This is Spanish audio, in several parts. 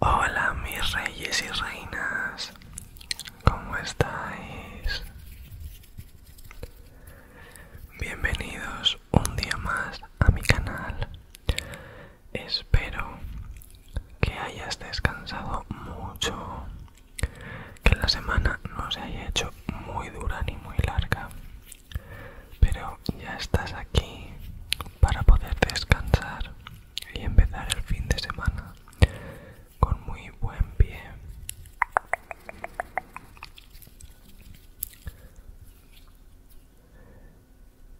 Hola mis reyes y reinas, ¿cómo estáis? Bienvenidos un día más a mi canal. Espero que hayas descansado mucho, que la semana no se haya hecho muy dura ni muy larga pero ya estás aquí para poder descansar y empezar el fin de semana con muy buen pie.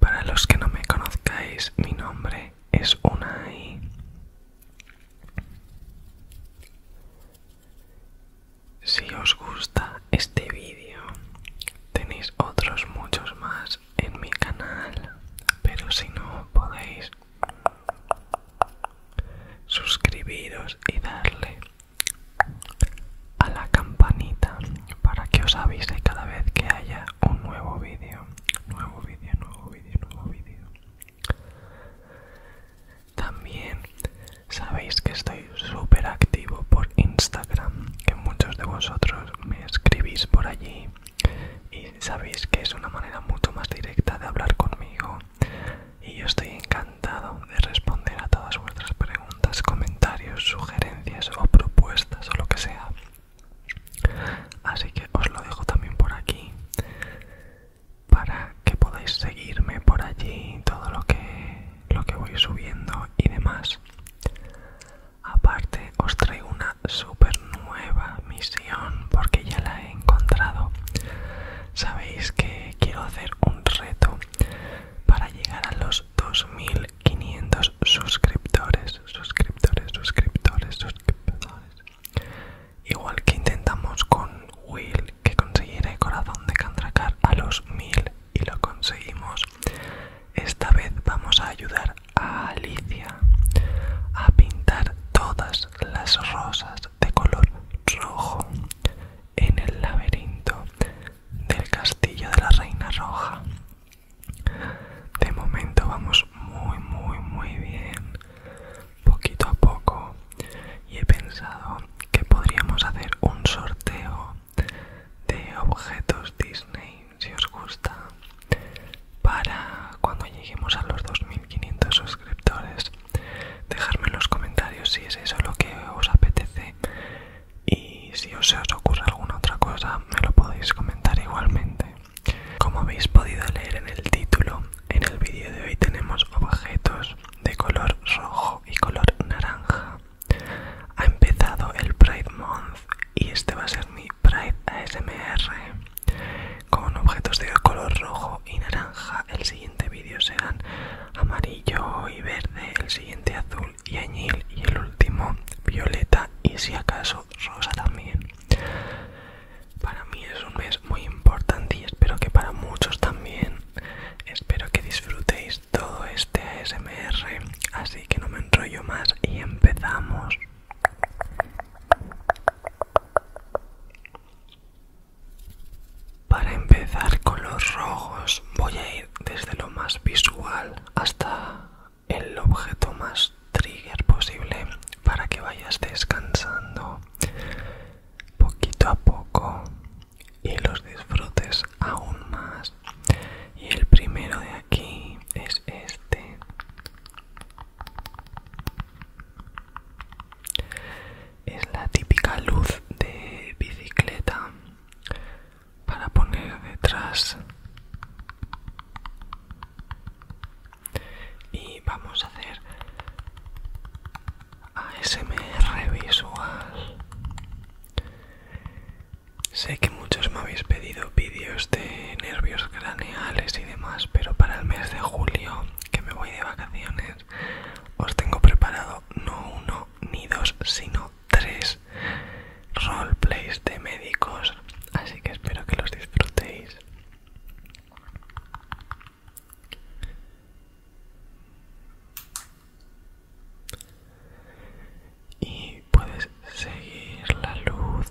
Para los que no me conozcáis, mi nombre es Unai. Si os gusta este vídeo, tenéis otros muchos más en mi canal, pero si no podéis suscribiros y darle a la campanita para que os avise cada vez que haya un nuevo vídeo, nuevo vídeo, nuevo vídeo, nuevo vídeo. También Sabéis que estoy súper activo por Instagram, que muchos de vosotros me escribís por allí y sabéis que es una manera mucho más directa de hablar conmigo. Y yo estoy encantado de responder a todas vuestras preguntas, comentarios, sugerencias o propuestas o lo que sea. Así que os lo dejo también por aquí para que podáis seguirme por allí, todo lo que lo que voy subiendo y demás. Aparte os traigo una super nueva misión porque ya la he encontrado. Sabéis que quiero hacer un reto para llegar a los 2500 suscriptores, suscriptores, suscriptores, suscriptores. Igual que intentamos con Will que conseguiré corazón de Cantracar a los 1000 y lo conseguimos. Esta vez vamos a ayudar a Alicia a pintar todas las rosas de color rojo en el laberinto del castillo de la Reina Roja. De momento vamos muy muy muy bien, poquito a poco, y he pensado que podríamos hacer un sorteo de objetos Disney, si os gusta, para cuando lleguemos a los 2500 suscriptores. Dejadme en los comentarios si es eso lo que os apetece y si os, os ocurre alguna otra cosa me lo podéis comentar igualmente. Como habéis podido leer en el título, en el vídeo de hoy tenemos objetos de color rojo y color naranja. Ha empezado el Pride Month y este va a ser mi Pride ASMR con objetos de color rojo y naranja. El siguiente vídeo serán amarillo y verde, el siguiente azul y añil y el último violeta y si acaso rosa también. Para mí es un mes muy importante y espero que para muchos también. Espero que disfrutéis todo este ASMR, así que no me enrollo más y empezamos. Para empezar con los rojos voy a ir desde lo más visual hasta el objeto más trigger posible para que vayas descansando poquito a poco y los disfrutes aún más y el primero de aquí es este es la típica luz de bicicleta para poner detrás y vamos a hacer ASMR visual. Sé que muchos me habéis pedido vídeos de nervios craneales y demás, pero para el mes de julio, que me voy de vacaciones, os tengo preparado no uno ni dos, sino tres roleplays de médicos. Así que espero que los disfrutéis y puedes seguir la luz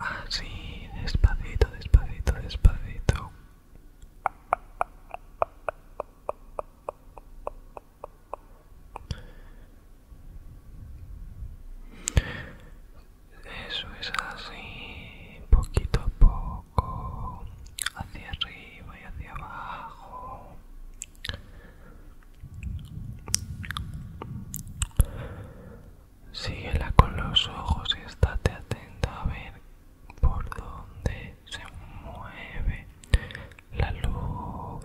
así despacito despacito despacito eso es así, poquito a poco, hacia arriba y hacia abajo. Síguela con los ojos y estate atenta a ver por dónde se mueve la luz.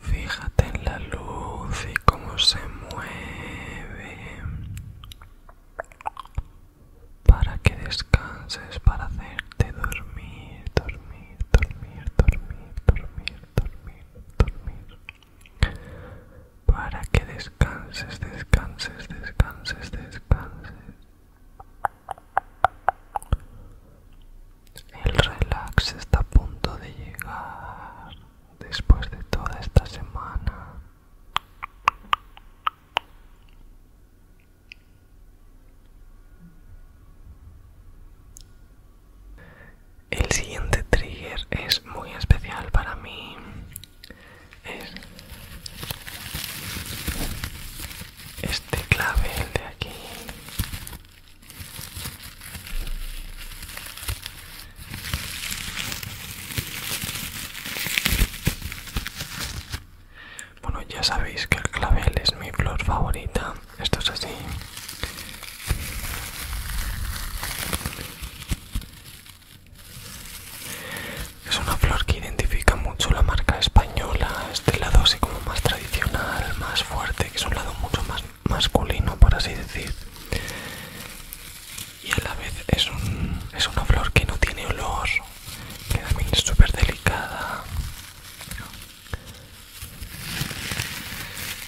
Fíjate en la luz y cómo se mueve para que descanses, para hacerte dormir, dormir, dormir, dormir, dormir dormir, dormir. Para que descanses, descanses, descanses, descanses. El relax está a punto de llegar después de toda esta semana. El siguiente trigger es muy especial para mí. Es este clavel de aquí. Bueno, ya sabéis que el clavel es mi flor favorita esto es así es una flor que identifica mucho la marca española este lado así como más tradicional más fuerte que es un lado mucho más masculino por así decir y a la vez es, un, es una flor que no tiene olor que también es súper delicada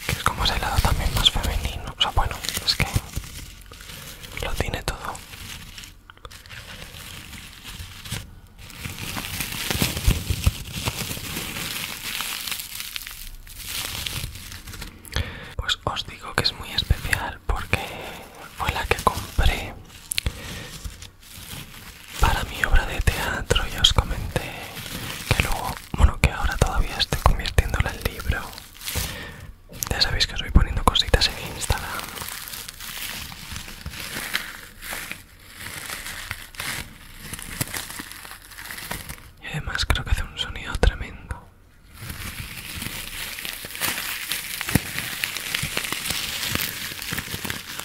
que es como ese lado también más femenino, o sea bueno, es que lo tiene todo. Pues os digo que es muy especial porque fue la que compré para mi obra de teatro ya os comenté que luego, bueno, que ahora todavía estoy convirtiéndola en libro. Ya sabéis que os voy poniendo cositas en Instagram. Y además creo que hace un sonido tremendo.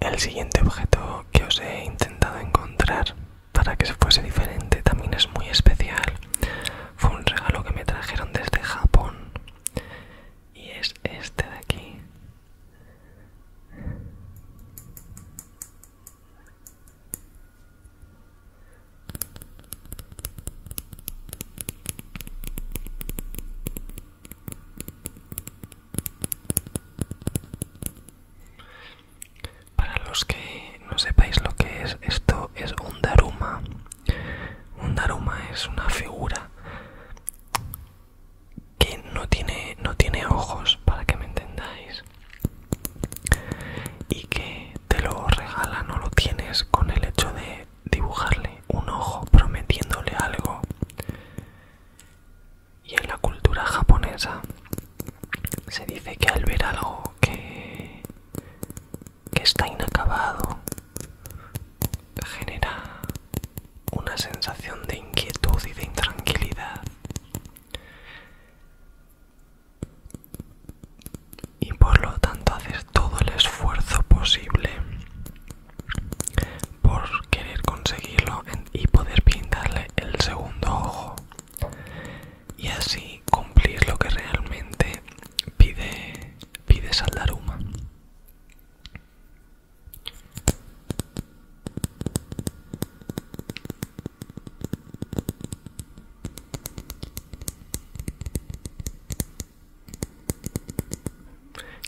El siguiente objeto que os he intentado encontrar para que se fuese diferente también es muy especial. Fue un regalo que me trajeron desde Japón. Y es este de aquí. Para los que no sepáis lo que es, esto es un daruma. Un daruma es una figura que no tiene, ojos, para que me entendáis. Y que te lo regala, no lo tienes con el hecho de dibujarle un ojo prometiéndole algo. Y en la cultura japonesa se dice que al ver algo que, que está inacabado genera una sensación de inquietud y de intranquilidad. Y por lo tanto hacer todo el esfuerzo posible por querer conseguirlo y poder pintarle el segundo ojo y así cumplir lo que realmente pide, pide Saldaruma.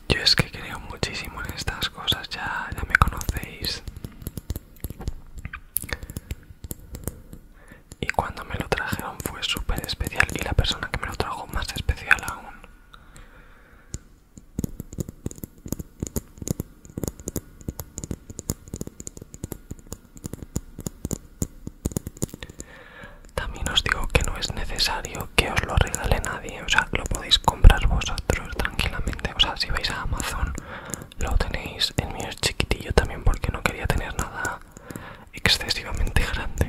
Yo es que creo muchísimo en estas cosas, ya, ya me conocéis y cuando me lo trajeron fue súper especial y la persona que me lo trajo más especial aún. También os digo que no es necesario que os lo regale nadie, o sea, lo podéis comprar vosotros tranquilamente, o sea, si vais a Amazon lo tenéis en mío es chiquitillo también porque no quería tener nada excesivamente grande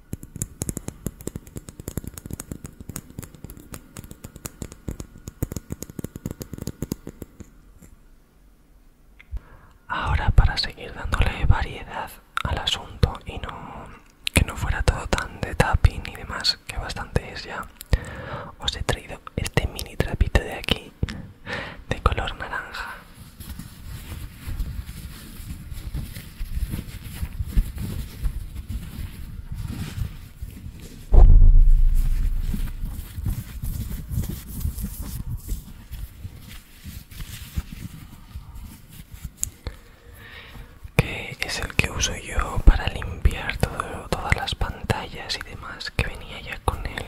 Ahora para seguir dándole variedad al asunto y no que no fuera todo tan de tapping y demás, que bastante es ya, os he traído este mini trapito de aquí de color naranja que es el que uso yo para limpiar todas las pantallas y demás que venía ya con el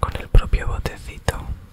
con el propio botecito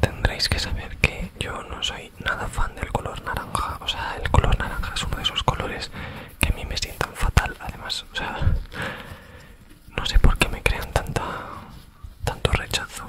Tendréis que saber que yo no soy nada fan del color naranja. O sea, el color naranja es uno de esos colores que a mí me sientan fatal. Además, o sea, no sé por qué me crean tanta, tanto rechazo.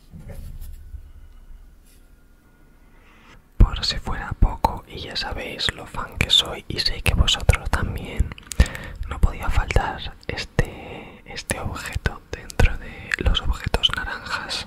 Por si fuera poco, y ya sabéis lo fan que soy y sé que vosotros también, no podía faltar este, este objeto dentro de los objetos naranjas.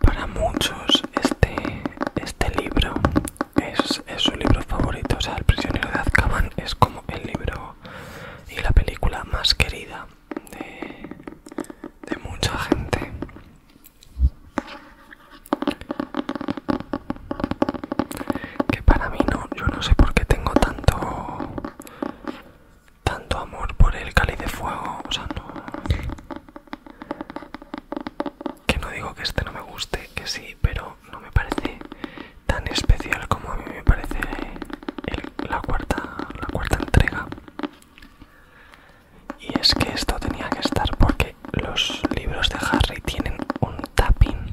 Para muchos este, este libro es, su libro favorito, o sea, El prisionero de Azkaban es como el libro y la película más querida de, de mucha gente. Que para mí no, yo no sé por qué tengo tanto tanto amor por el Cali de fuego, o sea, no. Que no digo que este no me guste, que sí, pero no me parece tan especial como a mí me parece la, cuarta, la cuarta entrega. Y es que esto tenía que estar porque los libros de Harry tienen un tapping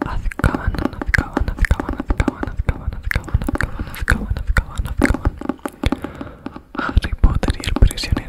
Azkaban, Azkaban, y el prisionero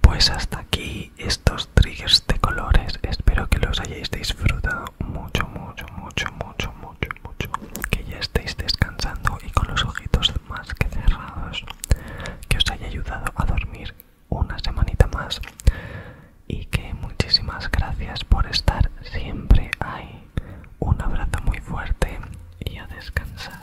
Pues hasta aquí estos triggers de colores. Espero que los hayáis disfrutado mucho, mucho, mucho, mucho, mucho, mucho. Que ya estéis descansando y con los ojitos más que cerrados. Que os haya ayudado a dormir una semanita más. Y que muchísimas gracias por estar siempre ahí. Un abrazo muy fuerte y a descansar.